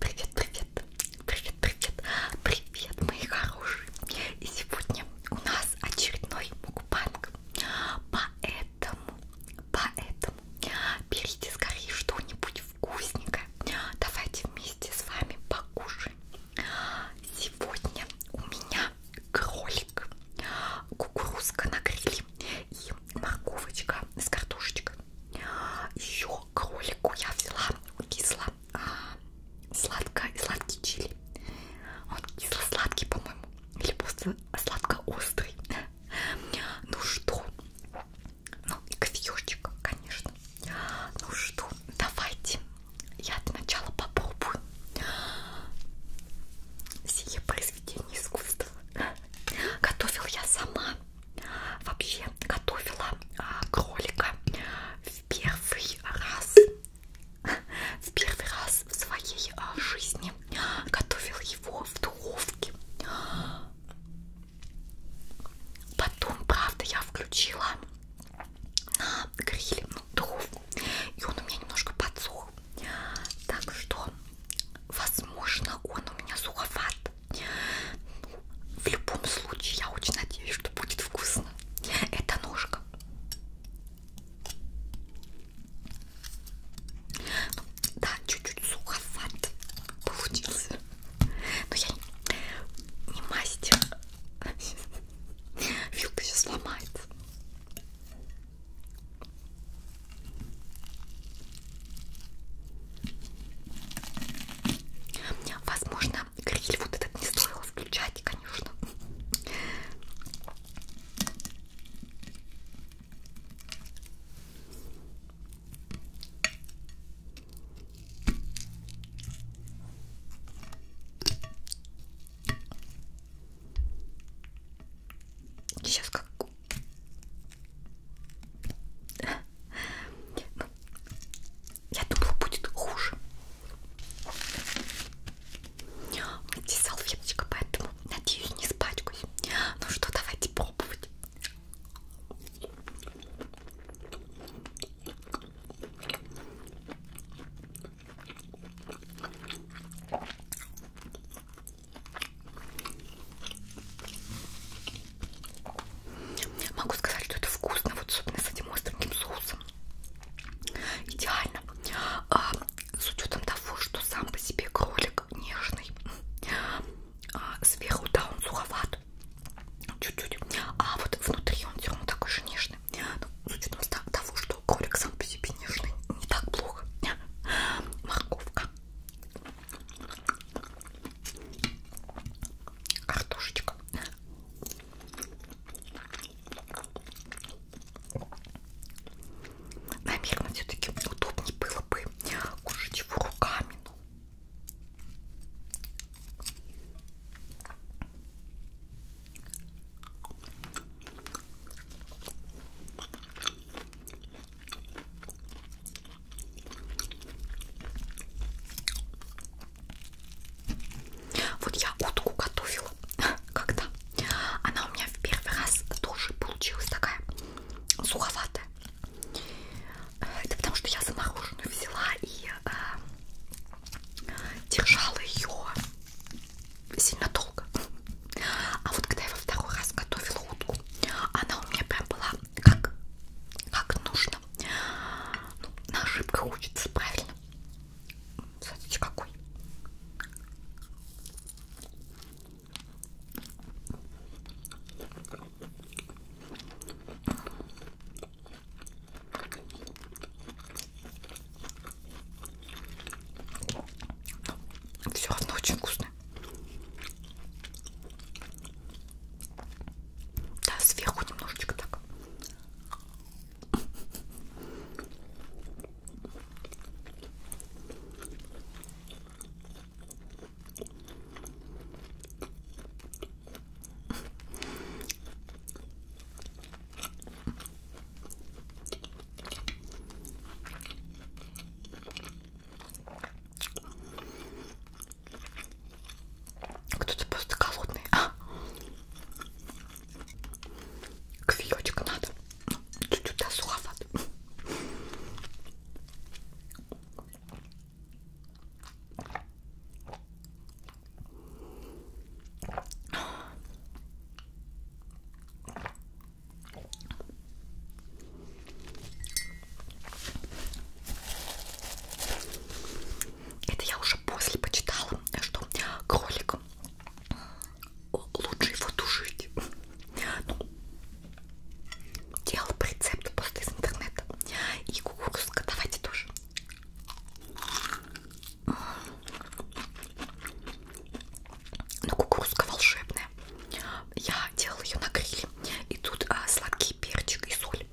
Привет, привет, привет, привет, привет, мои хорошие. И сегодня у нас очередной мукбанг, поэтому, поэтому берите скорее что-нибудь вкусненькое. Давайте вместе с вами покушаем. Сегодня у меня кролик, кукурузка на гриле и морковочка с картошечкой. Еще к кролику я взяла кисло а, сладко сладкий чили. Он кисло-сладкий, по-моему, или просто сладко-острый. Ну что? Ну и кофеечек, конечно. Ну что, давайте я для начала попробую сие произведение искусства. Готовил я сама вообще готовила а, кролика в первый раз в первый раз в своей а, жизни готовила его в духовке потом правда я включила на гриль ну, духовку и он у меня немножко подсох так что возможно он у меня суховат нет. В любом случае, я очень надеюсь, что будет вкусно. Это ножка. Ну, да, чуть-чуть суховат получился. Но я не мастер. Вилка сейчас сломается. Возможно, гриль вот этот не стоило включать, конечно. Сейчас как ну, я думала, будет хуже. Здесь салфеточка, поэтому, надеюсь, не спачкаюсь. Ну что, давайте пробовать. Могу сказать, что это вкусно, вот особенно с этим остреньким соусом. Идеально. А, с учетом того, что сам по себе кролик нежный. А, сверху, да, он суховат. Чуть-чуть. А вот внутри он все равно такой же нежный. Но ну, с учетом того, что кролик сам по себе нежный, не так плохо. Морковка. Картошечка. Наверное, все-таки удобнее было бы кушать его руками. Ну. Вот я утку готовила когда. Она у меня в первый раз тоже получилась такая суховатая. Это потому что я замороженную взяла и э, держала ее сильно долго. А вот когда я во второй раз готовила утку, она у меня прям была как, как нужно. Ну, на ошибках учится, правильно? Смотрите, какой. Все равно очень вкусно. Да, сверху немножечко так. Кто-то просто голодный. А? Кофеечек надо. Чуть-чуть да, суховат. Это я уже после почитала, что кролик лучше его тушить. Ну, делал по рецепту просто из интернета. И кукурузка давайте тоже. Ну, кукурузка волшебная. Я делала ее на гриле. И тут а, сладкий перчик и соль.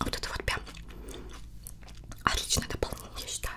Вот это вот прям отличное дополнение, я считаю.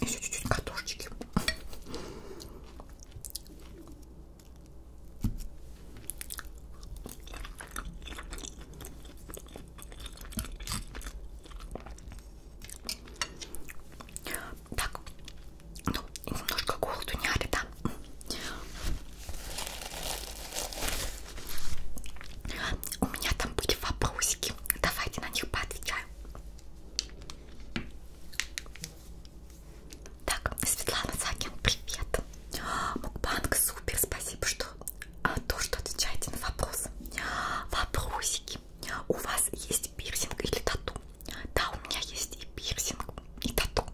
Еще чуть-чуть катушечки. Так, ну, немножко голоду не али, да? У меня там были вопросики. Давайте на них поотвечаем. Так, Светлана Сакин, привет. Мукбанк, супер, спасибо, что а то, что отвечаете на вопрос. Вопросики. У вас есть пирсинг или тату? Да, у меня есть и пирсинг, и тату.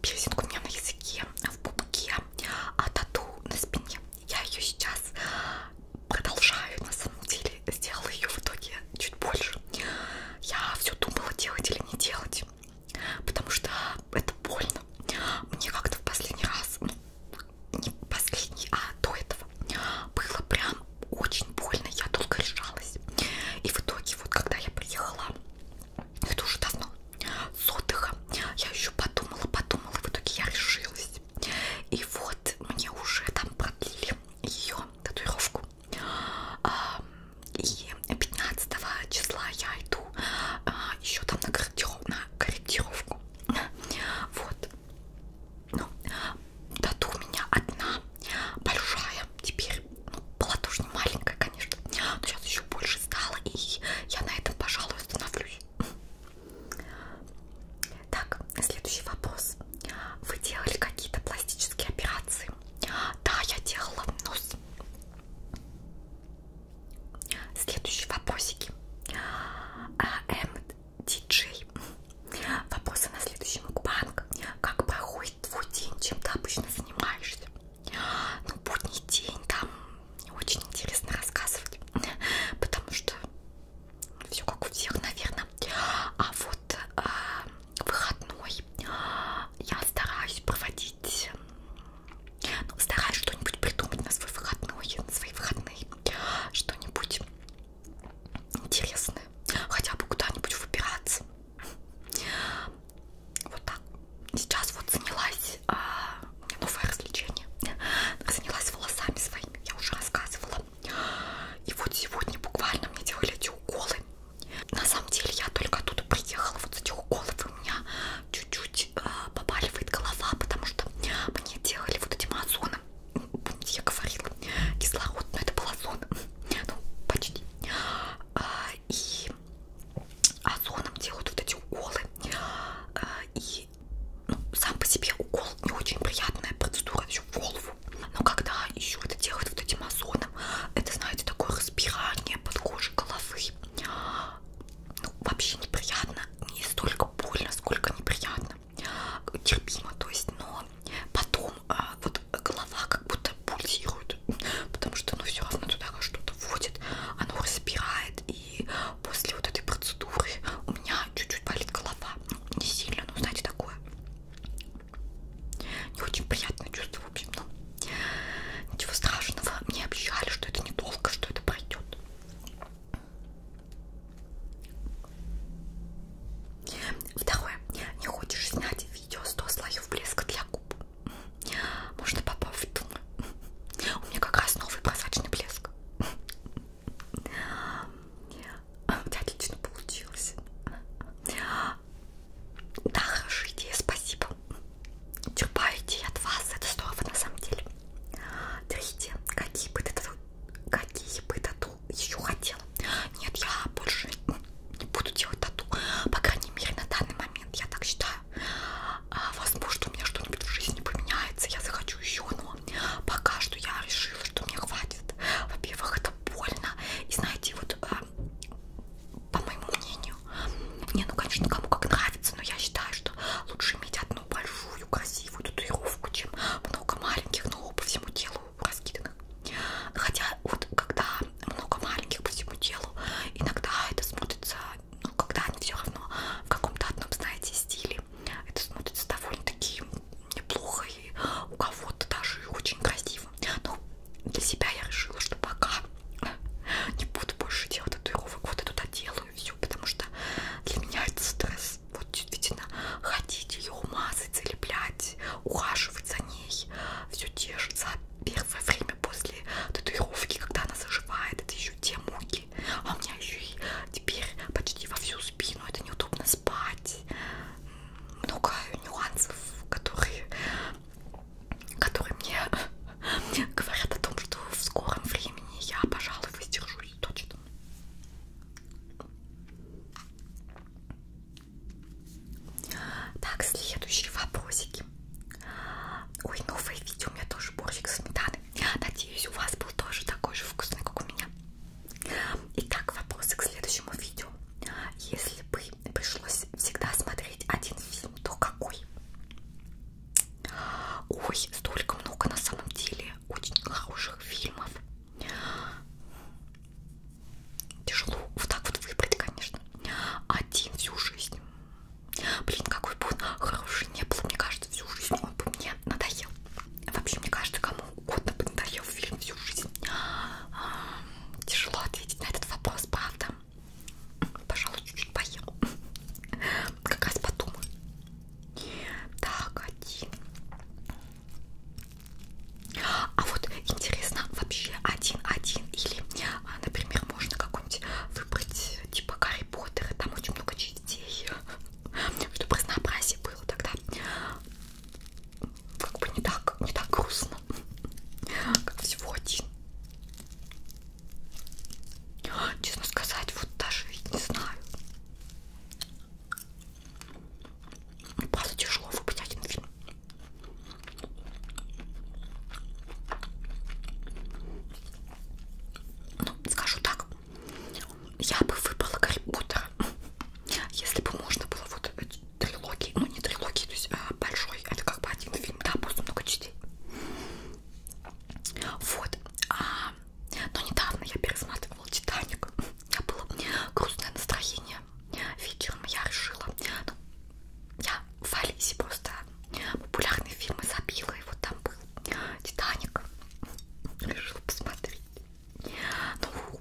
Пирсинг у меня на языке, в пупке, а тату на спине. Я ее сейчас продолжаю, на самом деле, сделала ее в итоге чуть больше. Я все думала делать или не делать потому что это больно. Мне как-то в последний раз, ну, не последний, а до этого, было прям очень больно, я долго решалась. И в итоге, вот когда я приехала, это уже давно, с отдыха, я еще подумала, подумала, в итоге я решилась. И вот мне уже там продлили ее татуировку. А, и 15 числа я иду а, еще там на, корректиров, на корректировку. Вот. Ну, тату у меня одна большая теперь. Ну, была тоже не маленькая, конечно. Но сейчас еще больше стало, и я на этом, пожалуй, остановлюсь. Так, следующий вопрос. Вы делали какие-то пластические операции? Да, я делала нос. Следующие вопросики. А, м. Диджей. Вопросы на следующий мукбанг. Как проходит твой день? Чем ты обычно занимаешься? Ну, будний день там очень интересно рассказывать, потому что все как у всех, наверное. А вот э, выходной я стараюсь проводить ну, стараюсь что-нибудь придумать на свой выходной, на свои выходные. Что-нибудь интересное. Хотя бы куда-нибудь выбираться. Вот так. Сейчас вот занялась... А, у меня новое развлечение. Занялась волосами своими. Я уже рассказывала. И вот сегодня буквально мне делали эти уколы. На самом деле я только оттуда приехала, вот с этих уколов у меня чуть-чуть э, побаливает голова, потому что мне делали вот этим озоном, помните, я говорила, кислород, но это был озон, ну, почти, а, и озоном делают вот эти уколы, а, и ну, сам по себе укол не очень приятная процедура еще в голову, но когда еще это делают вот этим озоном, это, знаете, такое разбирание под кожей головы, ну, вообще неприятно, не столько больно, сколько неприятно, терпимо, то есть, но потом а, вот голова как будто пульсирует, потому что ну все равно туда что-то вводит, оно разбирает, и после вот этой процедуры у меня чуть-чуть болит голова, ну, не сильно, но знаете такое, не очень приятное чувство в общем, ну, ничего страшного. Мне обещали, что это недолго, что это пройдет. Второе. Не хочешь снять видео 100 слоев блеска для губ? Можно попробовать, думаю. У меня как раз новый прозрачный блеск. У тебя отлично получилось. Да, хорошая идея, спасибо. Черпаю идеи от вас, это здорово на самом деле. Третье, какие бы ты тату, какие бы тату еще хотела? Нет, я больше не буду делать тату, по крайней мере на данный момент, я так считаю. А, возможно, у меня что-нибудь в жизни поменяется, я захочу еще, но пока что я решила, что мне хватит. Во-первых, это больно, и знаете, вот а, по моему мнению. Не, ну конечно, кому как нравится, но я считаю, что лучше иметь одну большую, красивую татуировку, чем много маленьких, но по всему телу раскиданных. Хотя вот когда много маленьких по всему телу, иногда это смотрится, ну когда они все равно в каком-то одном, знаете, стиле, это смотрится довольно-таки неплохо и у кого-то даже очень красиво красиво. Ну, Но для себя я решила, что пока не буду больше делать татуировок. Вот я туда делаю все, потому что для меня это стресс. Вот действительно ходить, ее мазать, залеплять, ухаживать за ней. Все держится первое время после татуировки, когда она заживает. Это еще те муки. А у меня еще и теперь почти во всю спину. Это неудобно спать. Много нюансов, которые которые мне говорят о том, что в скором времени я, пожалуй, воздержусь точно. Так, следующие вопросики. Ой, новое видео, у меня тоже борщик сметаны. Надеюсь, у вас был тоже такой же вкусный, как у меня. Итак, вопросы к следующему видео. Если бы пришлось всегда смотреть один фильм, то какой. Ой, столько много на самом деле очень хороших фильмов. Тяжело вот так вот выбрать, конечно. Один всю жизнь. Блин, какой бы он хороший не был, мне кажется, всю жизнь он бы мне надоел. Вообще, мне кажется, кому угодно бы надоел фильм всю жизнь. Тяжело ответить на этот вопрос, правда? Пожалуй, чуть-чуть поел. Как раз подумаю. Так, один. А вот интересно, вообще один-один или, а, например, можно какой-нибудь выбрать типа Гарри Поттера, там очень много частей, чтобы разнообразие было тогда. Как бы не так, не так грустно, как всего один. Честно сказать, вот даже не знаю. Просто тяжело выбрать один фильм. Ну, скажу так, я бы выбрала Гарри Поттера, если бы можно было вот трилогии, ну не трилогии, то есть а, большой, это как бы один фильм, да, просто много частей. Вот, а, но недавно я пересматривала Титаник, у меня было грустное настроение, вечером я решила, ну, я в Алисе просто популярные фильмы забила, и вот там был Титаник, решила посмотреть. Ну,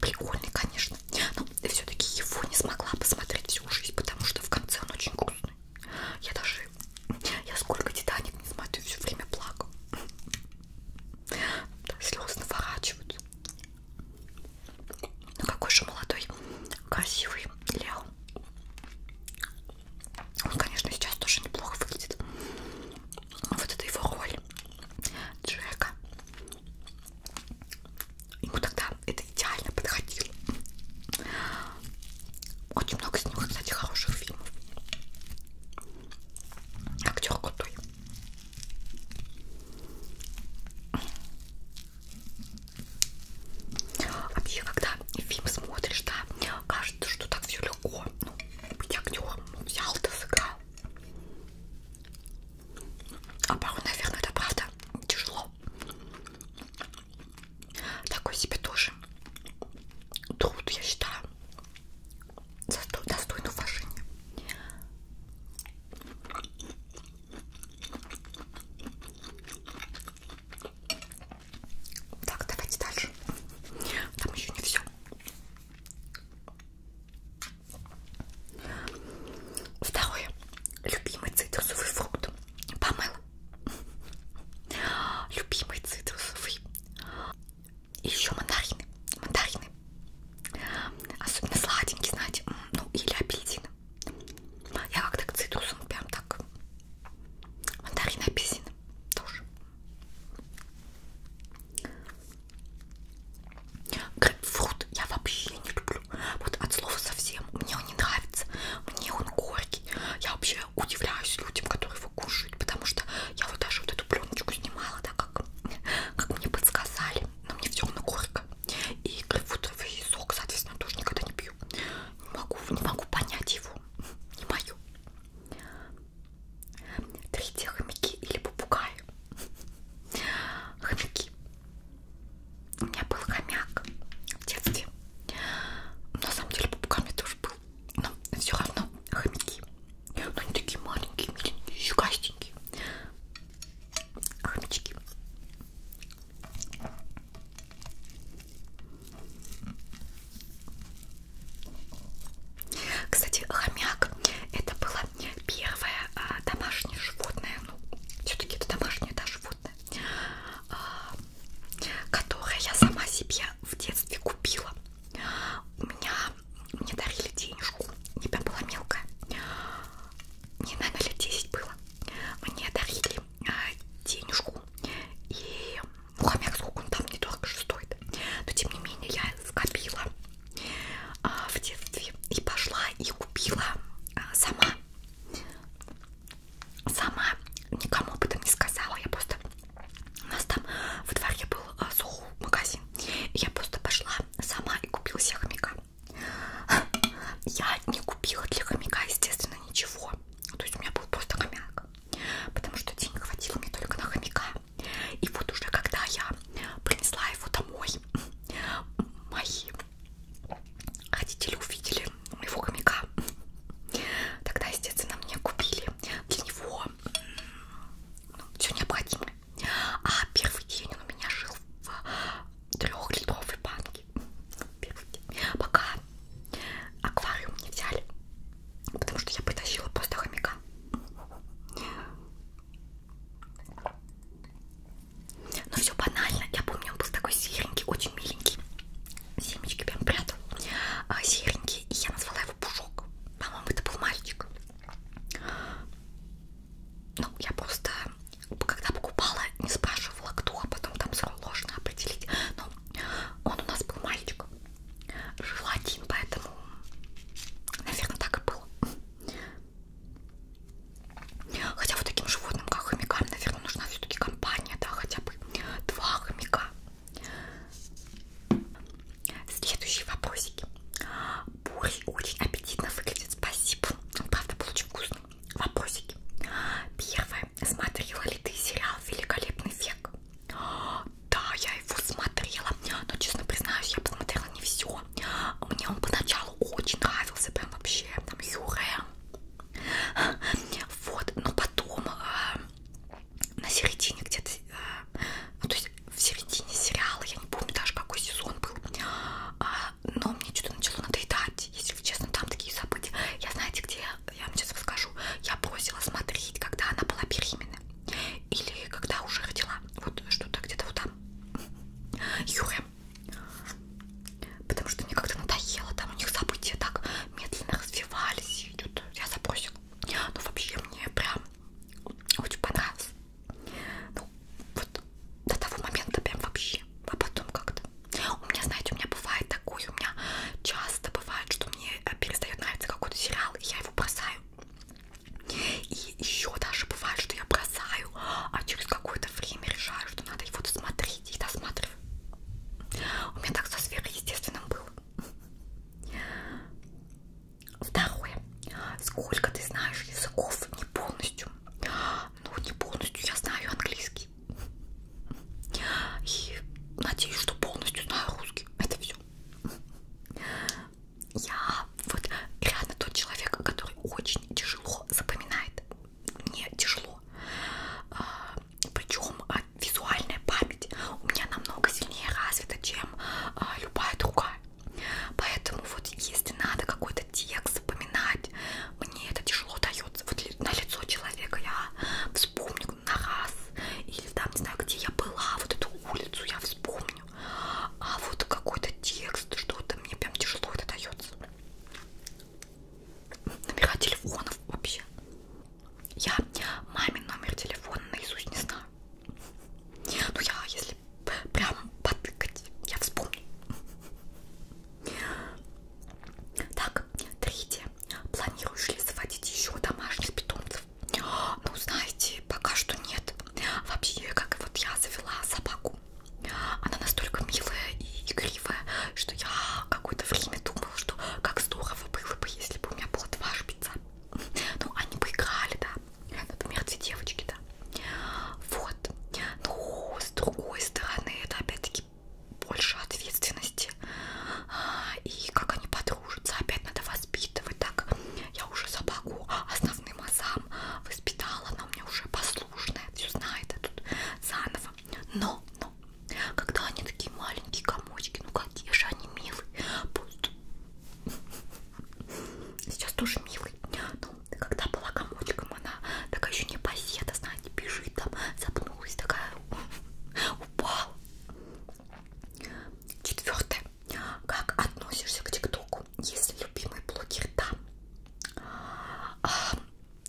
прикольный, конечно. Но все-таки его не смогла посмотреть всю жизнь, потому что в конце он очень грустный. Я даже, я сколько Титаник не смотрю, все время плакала. Слезы наворачиваются. Ну какой же молодой, красивый Лео. Он, конечно, сейчас тоже неплохо выглядит. Вот это его роль Джека. Ему тогда это идеально подходило. Очень много с него, кстати, хороших фильмов. Актер крутой. Вообще, когда фильм смотришь, да, кажется, что так все легко. Ну, быть актером, ну, взял, да сыграл. А пару, наверное, это правда тяжело. Такой себе тоже труд, я считаю, достойный уважения. Так, давайте дальше. Там еще не все. Второе. Любимый цитрусовый фрукт. Помыл. Любимый цитрусовый. И еще мандарины. Мандарины. Особенно сладенькие, знаете. Ну, или апельсины. Я как-то к цитрусам прям так. Мандарины, апельсины тоже. Грейпфрут я вообще не люблю. Вот от слова совсем. Мне он не нравится. Мне он горький. Я вообще удивляюсь людям, которые его кушают. Потому что я вот даже вот эту пленочку снимала, да, как, как мне подсказали. Но мне все равно горько. И грейпфрутовый сок, соответственно, тоже никогда не пью. Не могу, не могу понять его. Не мою. Третье хомяки или попугаи. Хомяки. У меня был хомяк в детстве. На самом деле попугай мне тоже был. Но все равно хомяки. Но они такие маленькие, миленькие, щекастенькие. Хомячки. Кстати, хомяк это была выбрала первое а, домашнее животное, ну, все-таки это домашнее да, животное, а, которое я сама себе в детстве купила. У меня мне дарили денежку, я была мелкая, не наверное, лет 10 было. Мне дарили а, денежку и ну хомяк сколько он там не дорого же стоит, но тем не менее я скопила а, в детстве и пошла и купила а, сама. Сама никому об этом не сказала. Я просто у нас там во дворе был а, магазин. Я просто пошла сама и купила себе хомяка. Я не купила для хомяка, естественно, ничего. То есть у меня был просто хомяк. Потому что денег хватило мне только на хомяка. И вот уже когда я принесла его домой, мои родители увидели моего хомяка. Тогда, естественно, мне купили для него ну, все необходимое. А первый день он у меня жил в трехлитровой банке. Первый день. Пока аквариум не взяли, потому что я притащила просто хомяка. Но ну, все банально. Я помню, он был такой серенький, очень миленький. Семечки прям прятал. А, серенький. И я назвала его Пушок. По-моему, это был мальчик. Ну, я просто, когда покупала, не спрашивала, кто, а потом там сложно определить. Но он у нас был мальчик. Жил один, поэтому, наверное, так и было. Хотя вот таким животным, как хомякам, наверное, нужна все-таки компания, да, хотя бы два хомяка. Следующие вопросики. Бурый очень аппетитно выглядит, спасибо. Он правда был очень вкусный. Вопросики. Первое. Смотрела ли ты сериал «Великолепный век»? Да, я его смотрела, но, честно признаюсь, я посмотрела не все его. Мне он поначалу очень нравился, прям вообще, там, Юре. Вот, но потом а, на середине где-то, а, ну, то есть в середине сериала, я не помню даже какой сезон был, а, но мне что-то начало надоедать, если честно, там такие события. Я знаете где, я вам сейчас расскажу, я бросила смотреть, когда она была беременна. Или когда уже родила. Вот что-то где-то вот там. Юры. Потому что мне как-то надоело. Там у них события так медленно развивались. И идет. Я забросила. Ну вообще мне прям очень понравилось. Ну, вот до того момента прям вообще. А потом как-то. У меня, знаете, у меня бывает такое. У меня часто бывает, что мне перестает нравиться какой-то сериал, и я его бросаю. И еще даже бывает, что я бросаю, а через какое-то время решаю, что надо его досмотреть и досматриваю. У меня так со сверхъестественным было. Второе. Сколько ты знаешь языков не полностью? Ну, не полностью я знаю английский. И надеюсь, что полностью знаю русский. Это все. Я вот реально тот человек, который очень тяжело запоминает. Мне тяжело. А, Причем а, визуальная память у меня намного сильнее развита, чем а, любая другая. Поэтому вот если надо какой-то текст запоминать, мне это тяжело дается. Вот на лицо человека я вспомню на раз. Или там, не знаю, где я была, вот эту улицу я вспомню помню. А вот какой-то текст, что-то мне прям тяжело это дается. Номера телефонов вообще. Я мамин номер телефона наизусть не знаю. Ну я, если прям потыкать, я вспомню. Так, третье. Планируешь ли заводить еще домашних питомцев? питомцев? Ну, знаете, пока что нет. Вообще, как вот я завела собаку. Она настолько милая и игривая, что я какое-то время думала, что как здорово было бы, если бы у меня было два шпица. Ну, они бы играли, да. Например, две девочки, да. Вот. Но, с другой стороны, это опять-таки больше ответственности. А, и как они подружатся, опять надо вас воспитывать так. Я уже собаку основным азам воспитала, она у меня уже послушная, все знает, а тут заново. Но, но, когда они такие маленькие комочки, ну какие же они милые. Пусть. Сейчас тоже милый. Но ну, когда была комочком, она такая еще не поседа, знаете, бежит там, запнулась, такая упала. Четвертое. Как относишься к ТикТоку, если любимый блогер там? А,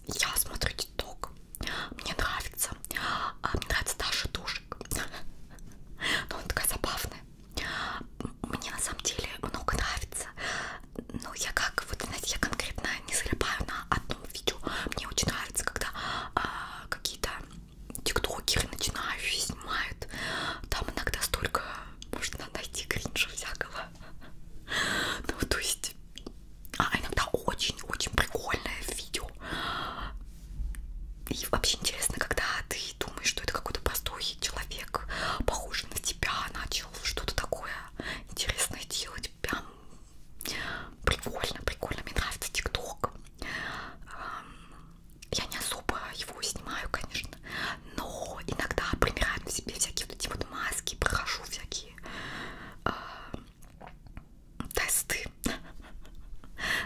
я смотрю ТикТок, мне нравится, а, мне нравится Даша Душек, но она такая забавная. Мне на самом деле много нравится, но я как, вот знаете, я конкретно не залипаю на одном видео. Мне очень нравится, когда а, какие-то тиктокеры начинают снимают. Там иногда столько можно найти кринжа всякого. Ну, то есть, а иногда очень-очень прикольное видео. И вообще интересно, когда ты думаешь, что это какой-то простой человек, похожий на тебя, начал что-то такое интересное делать. Прям прикольно, прикольно. Мне нравится ТикТок я не особо его снимаю, конечно, но иногда примераю на себе всякие вот эти вот маски, прохожу всякие э, тесты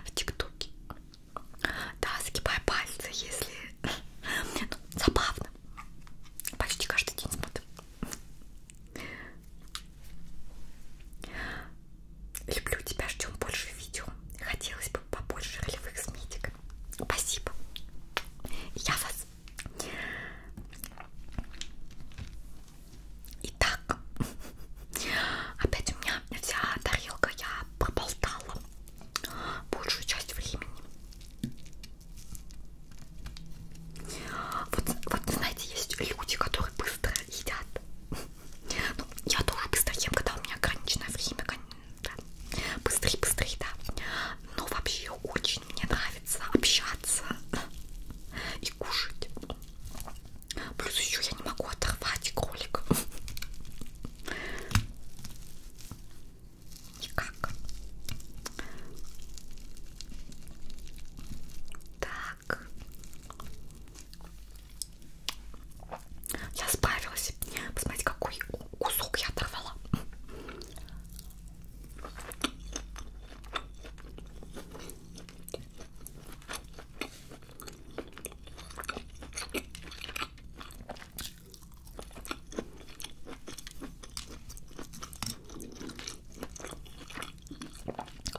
в ТикТоке. Да, загибаю пальцы, если... Ну, забавно. Почти каждый день смотрю. Люблю тебя, ждем больше видео. Хотелось бы побольше ролевых с медиком. Спасибо. Я вас. Итак, опять у меня вся тарелка, я проболтала большую часть времени. Вот, вот знаете, есть люди, которые быстро едят. Ну, я тоже быстро ем, когда у меня ограниченное время, да. Быстрее, быстрее, да. Но вообще очень мне нравится общаться и кушать. Плюс еще я не могу оторвать кролик. Никак. Так. Я справилась. Посмотрите, какой кусок я оторвала.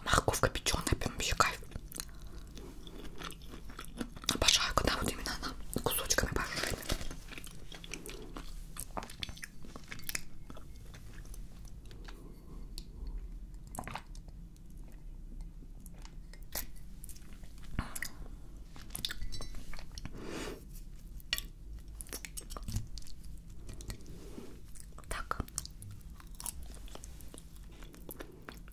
Морковка печеная, прям вообще кайф. Обожаю, когда вот именно она кусочками пожарит. Так.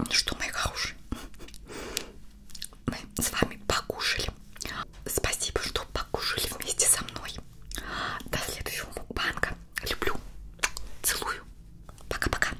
Ну что, мои хорошие, мы с вами покушали. Спасибо, что покушали вместе со мной. До следующего банка. Люблю. Целую. Пока-пока.